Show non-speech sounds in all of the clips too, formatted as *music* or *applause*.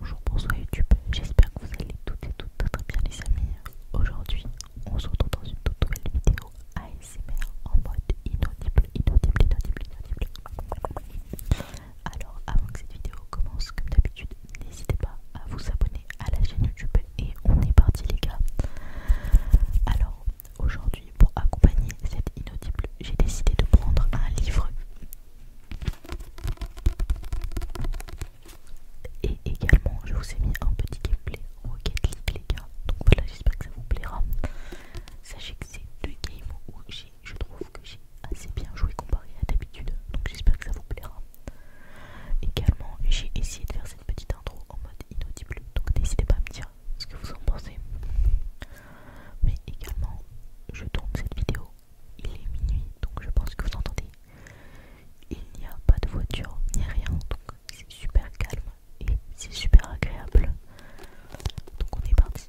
Bonjour, bonsoir YouTube, j'espère que vous allez toutes et toutes très bien les amis. Aujourd'hui, on se retrouve dans une toute nouvelle vidéo ASMR en mode inaudible, inaudible, inaudible, inaudible. Alors, avant que cette vidéo commence, comme d'habitude, n'hésitez pas à vous abonner à la chaîne YouTube et on est parti les gars. Alors, aujourd'hui, pour accompagner cette inaudible, j'ai décidé de prendre un livre et également, je vous ai mis un petit gameplay Rocket League, les gars. Donc voilà, j'espère que ça vous plaira. Sachez que c'est deux games où je trouve que j'ai assez bien joué comparé à d'habitude. Donc j'espère que ça vous plaira. Également, j'ai essayé de faire cette petite intro en mode inaudible. Donc n'hésitez pas à me dire ce que vous en pensez. Mais également, je tourne cette vidéo il est minuit, donc je pense que vous entendez. Il n'y a pas de voiture ni rien, donc c'est super calme et c'est super agréable. Donc on est parti.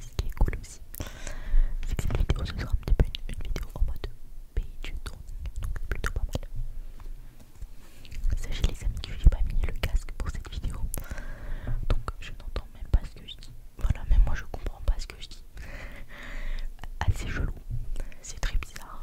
Ce qui est cool aussi, c'est que cette vidéo ce sera un petit peu une, vidéo en mode page tuto, donc plutôt pas mal. Sachez les amis que j'ai pas mis le casque pour cette vidéo, donc je n'entends même pas ce que je dis. Voilà, même moi je comprends pas ce que je dis. *laughs* Assez chelou, c'est très bizarre.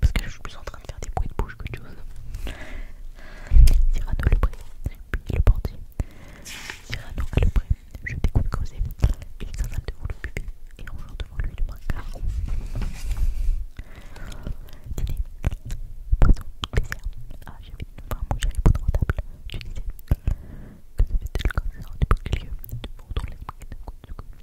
Parce que je suis plus en train de faire des bruits de bouche que de choses. Cyrano le pré, puis le portier. Cyrano à le pré, je découpe creuser. Il s'installe devant le bébé et joue devant lui le brancard. Dîner, poisson, dessert. Ah, j'avais enfin, moi à pas de table. Tu disais que c'était le cancer du bouclier, de retourner la maquette de coup de coup.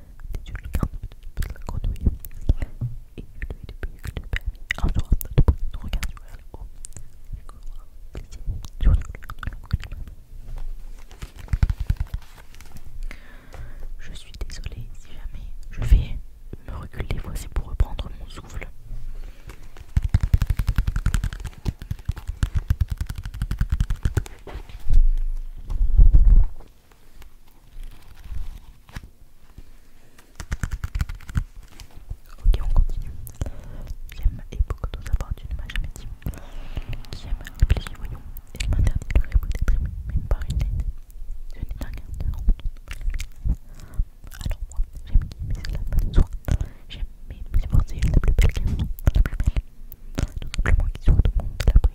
Je suis désolé si jamais je vais me reculer, voici pour reprendre mon souffle. Ok, on continue. J'aime et beaucoup de savoir, tu ne m'as jamais dit. Qui aime le plaisir, voyons. Elle m'interdit de rêve d'être aimé, même par une lettre. C'est n'ai rien de Alors, moi, j'aime qui, mais cela pas de soi. J'aime, mais c'est forcément la plus belle qu'elle la plus belle. Tout simplement qui soit le monde de la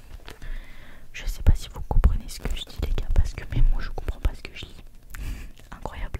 Je sais pas si vous comprenez ce que je dis les gars parce que même moi je comprends pas ce que je dis *laughs* Incroyable.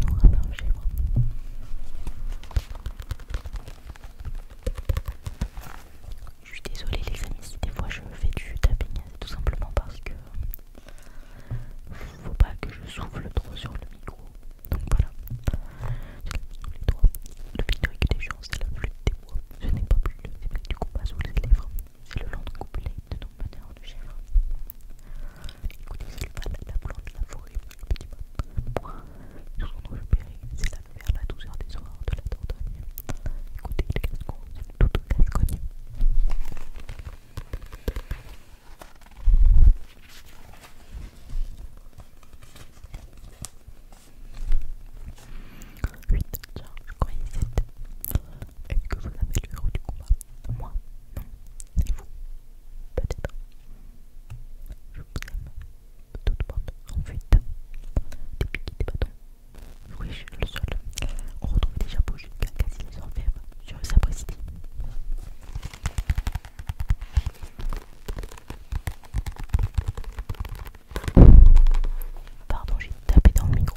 de nos rappeurs de chèvre Je suis désolée les amis si des fois je me fais du tapping, tout simplement parce que faut pas que je souffle trop sur le micro. Donc voilà. Les doigts. Le vidéo avec des gens, c'est la flûte des doigts Ce n'est pas plus le du pas sous les lèvres. C'est le long de couplé de nos manœuvres de chèvre. Écoutez, c'est le panade à blanc de la forêt, le petit panade. Moi, ils sont récupérés, c'est la mer, la douceur des horreurs de la dordogne. Écoutez, les casse-crocs, c'est tout de casse-crocs. 8, je crois, il est 7. Est-ce que vous avez le rôle du combat Moi, non, c'est vous, peut-être. Je vous le sol. On retrouve déjà chapeaux jusqu'à quasi les sur le Pardon, j'ai tapé dans le micro.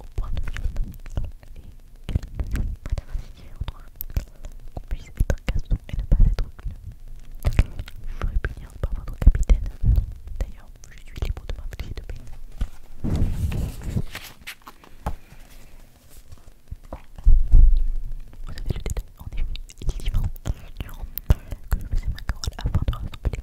au point de vue et quelle qu'on puisse être un casson et ne pas être une Vous punir par votre capitaine. D'ailleurs, je suis libre de m'infliger de paix. Vous avez le détail, en effet, il est durant que je faisais ma corolle avant de rassembler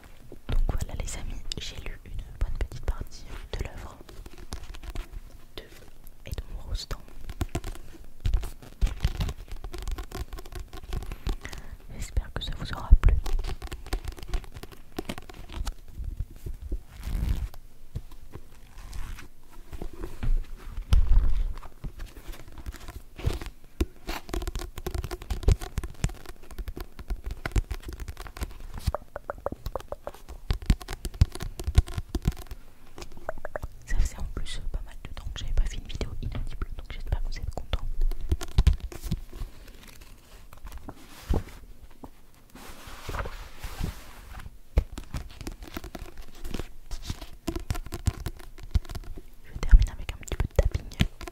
donc voilà les amis, j'ai lu une bonne petite partie de l'œuvre de Edmond Rostand. J'espère que ça vous aura plu. Ça faisait en plus euh, pas mal de temps que j'avais pas fait une vidéo inaudible, donc j'espère que vous êtes contents. Je termine avec un petit peu de tapping.